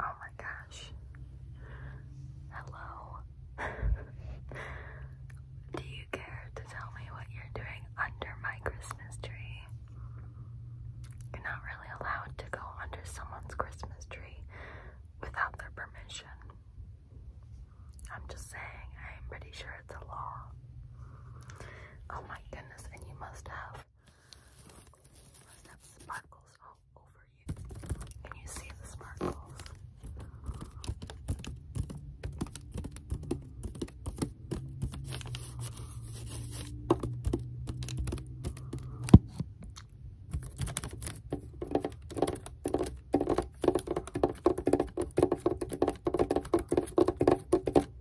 Oh my gosh. Hello. Do you care to tell me what you're doing under my Christmas tree? You're not really allowed to go under someone's Christmas tree without their permission. I'm just saying, I'm pretty sure it's a law. Oh my goodness, and you must have Let's have sparkles all over you. Can you see the sparkles? All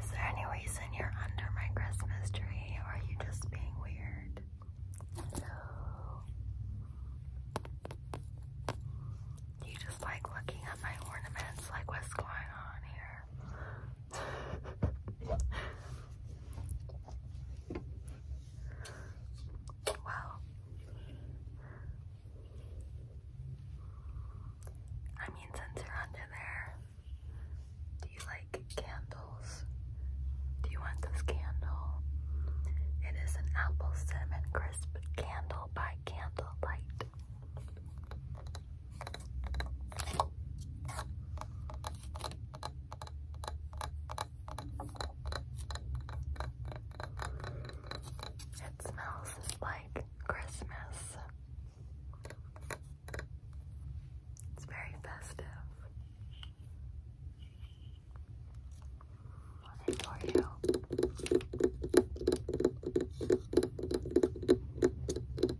Is there any reason and you're under my Christmas tree, or are you just being weird? You just like looking at my ornaments, like what's going on here? well, I mean, since you're under there, do you like candles? Do you want this candle? It is an apple cinnamon crisp candle by Candlelight. It smells like Christmas. It's very festive. One for you.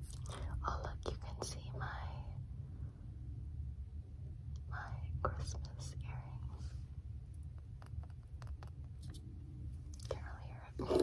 Oh look, you can see my my Christmas earrings. Can't hear it.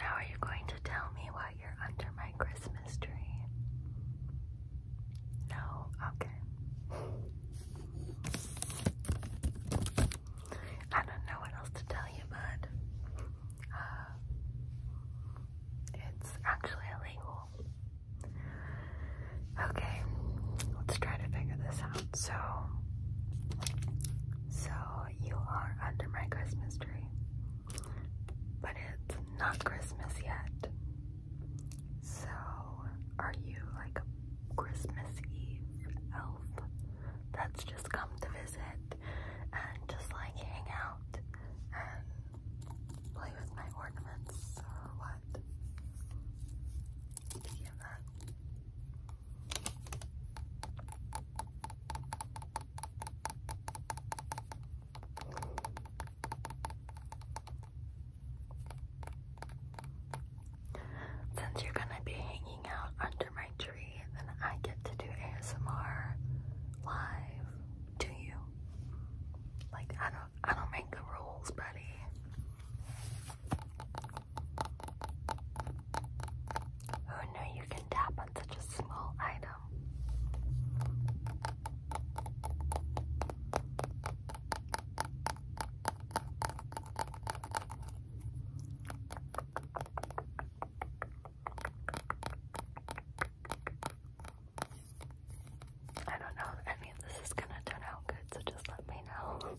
Now, are you going to tell me why you're under my Christmas tree? No, okay. I don't know what else to tell you, but uh, it's actually illegal. Okay, let's try to figure this out. So, so you are under my Christmas tree, but it's not Christmas yet. So, are you like a Christmas Eve elf? that's just come to visit and just like hang out and play with my ornaments or what. you that? Since you're gonna be hanging out under my tree, then I get to do ASMR live to you. Like I don't I don't make the rules, buddy. Who oh, knew you can tap on such a small item? I don't know if any of this is gonna turn out good, so just let me know.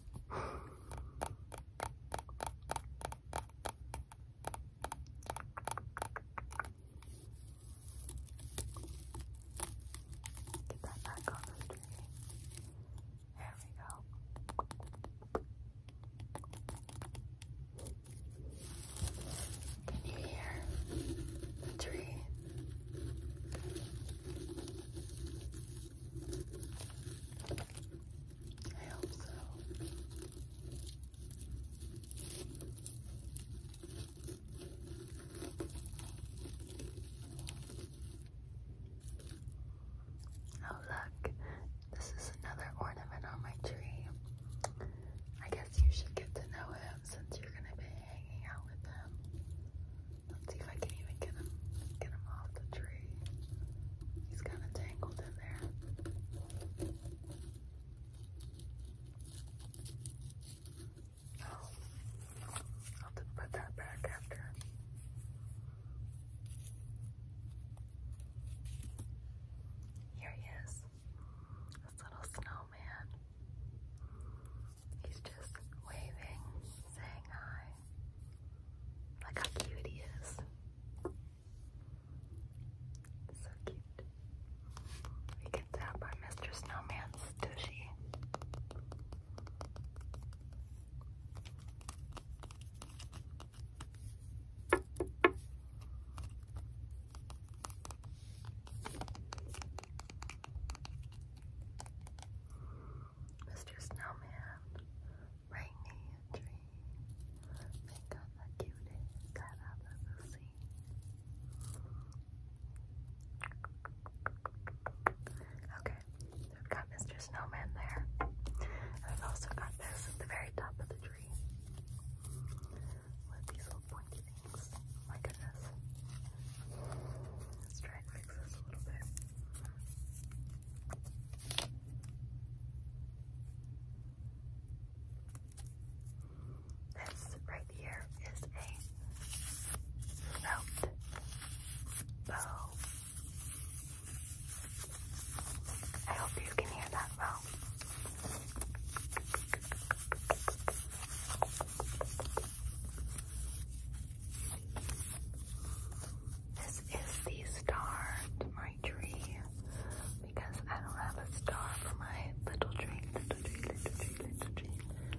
Get that back on the tree. There we go. Can you hear the tree? I hope so. Oh, look, this is another ornament on my tree. I guess you should get to know him since you're gonna be hanging out with him. Let's see if I can even get him get him off the tree. He's kind of tangled in there. Oh, I'll have put that back after. Here he is, this little snowman. He's just waving, saying hi. Look how cute he is. So cute. We can tap on Mr. Snowman's tushy. Mr. Snowman, bring me dream. Make up a cutie that I've ever seen. Okay, there. have got Mr. Snowman there. And we've also got this at the very top of the tree. With these little pointy things. My goodness. Let's try and fix this a little bit. This right here is a throat bow. I hope you can hear that well. This is the star to my tree because I don't have a star for my little tree, little tree, little tree, little tree,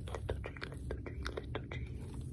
little tree, little tree, little tree.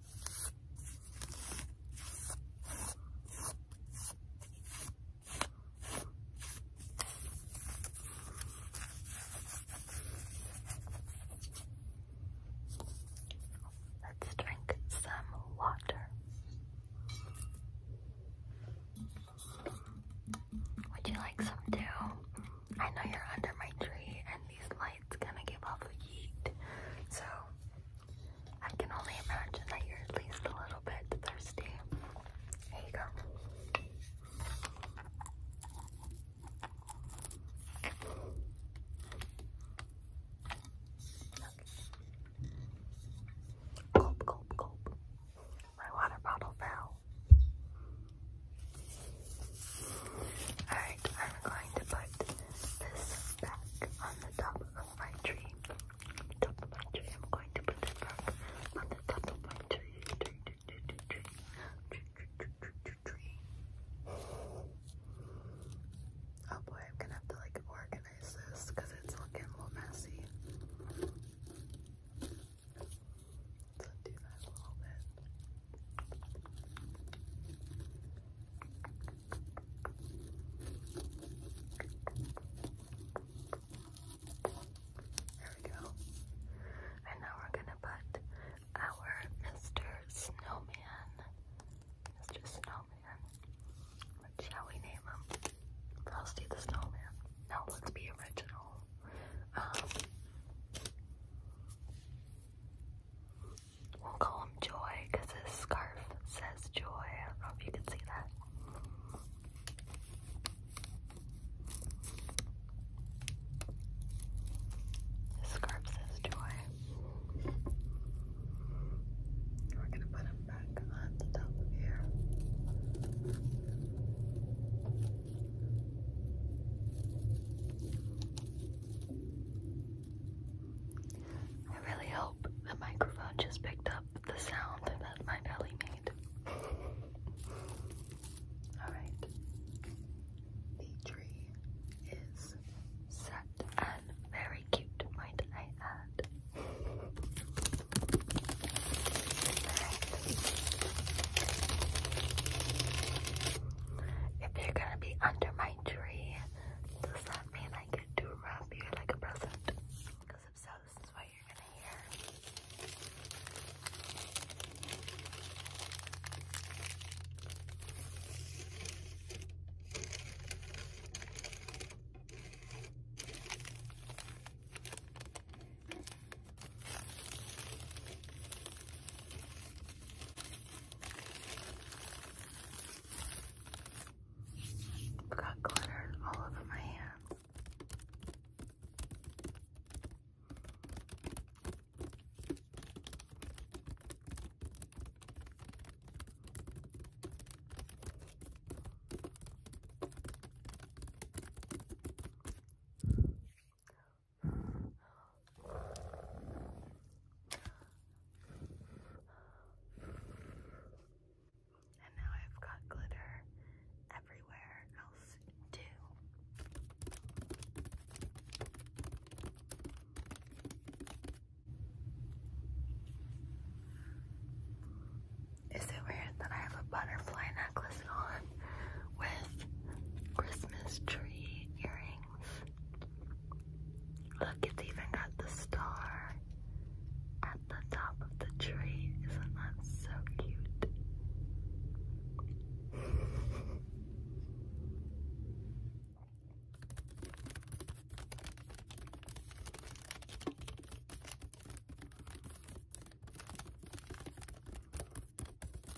Let's drink some water. Would you like some too? I know you're under my tree and these lights gonna give off a heat. So I can only imagine that you're at least a little bit thirsty. Here you go. Gulp, gulp, gulp. My water bottle fell. Alright, I'm going to put this back on the top of my tree. Top of my tree. I'm going to put this back on the top of my tree. Tree, tree, tree, tree, tree, tree, tree, tree, tree. Oh boy, I'm gonna have to like organize this because it's looking a little messy. Let's undo that a little bit. There we go. And now we're gonna put our Mr. Snowman. Mr. Snowman. What shall we name him? Frosty the Snowman. No, let's be original. Um, We'll call him Joy because his scarf says Joy. I don't know if you can see that. scarf says Joy. We're going to put him back on the top here. I really hope the microphone just picked up the sound that my belly made. Alright. The tree is set and very cute, might I add if you're gonna be under my tree, does that mean I get to wrap you like a present? Because if so, this is what you're gonna Got glitter all over my hands. And now I've got glitter everywhere else, too. Is it weird that I have a butterfly necklace with Christmas tree earrings. Look, it's even got the star at the top of the tree. Isn't that so cute?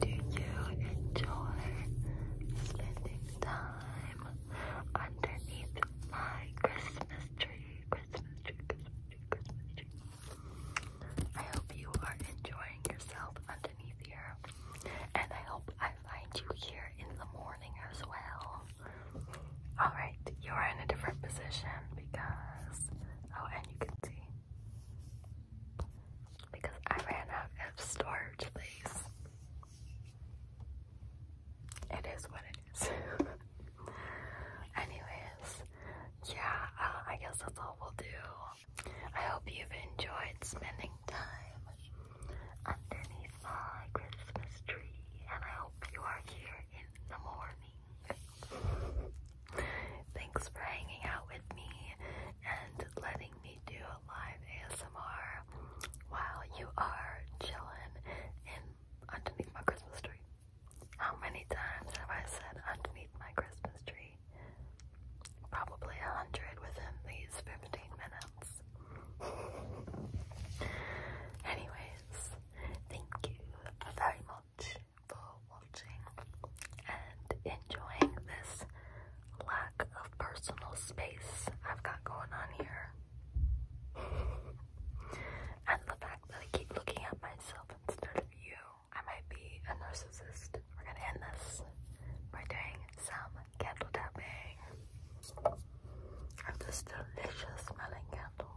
Do you enjoy spending time underneath my Christmas tree? Christmas tree, Christmas tree, Christmas tree. I hope you are enjoying yourself underneath here. And I hope I find you here in the morning as well. Alright, you are in a different position because. Oh, and you can see because I ran out of storage space. It is what it is. Anyways, yeah, uh, I guess that's all we'll do. I hope you've enjoyed spending time underneath my Christmas tree, and I hope you are here in the morning. Thanks for hanging out with me and letting me do a live ASMR while you are chilling in underneath my Christmas tree. How many times have I said underneath my Christmas tree? Probably a hundred within these 15 minutes. Anyways, thank you very much for watching and enjoying this lack of personal space I've got going on here. and the fact that I keep looking at myself instead of you. I might be a narcissist. We're gonna end this by doing some candle tapping of this delicious smelling candle.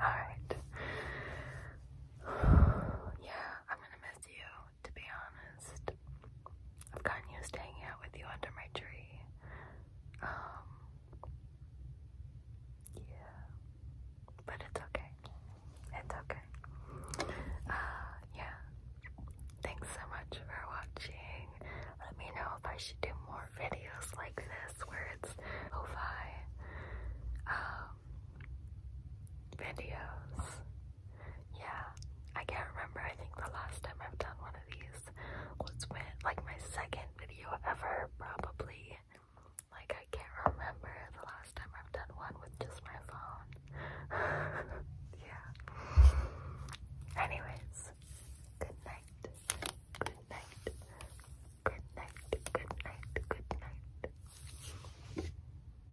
All right. yeah, I'm gonna miss you to be honest. I've gotten used to hanging out with you under my tree. Um, yeah, but it's okay. It's okay. Uh, yeah. Thanks so much for watching. Let me know if I should do more videos like this where it's lo um, videos. Yeah, I can't remember. I think the last time I've done one of these was when, like, my second video ever, probably. Like, I can't remember the last time I've done one with just my phone. yeah. Anyways, good night. Good night. Good night. Good night. Good night.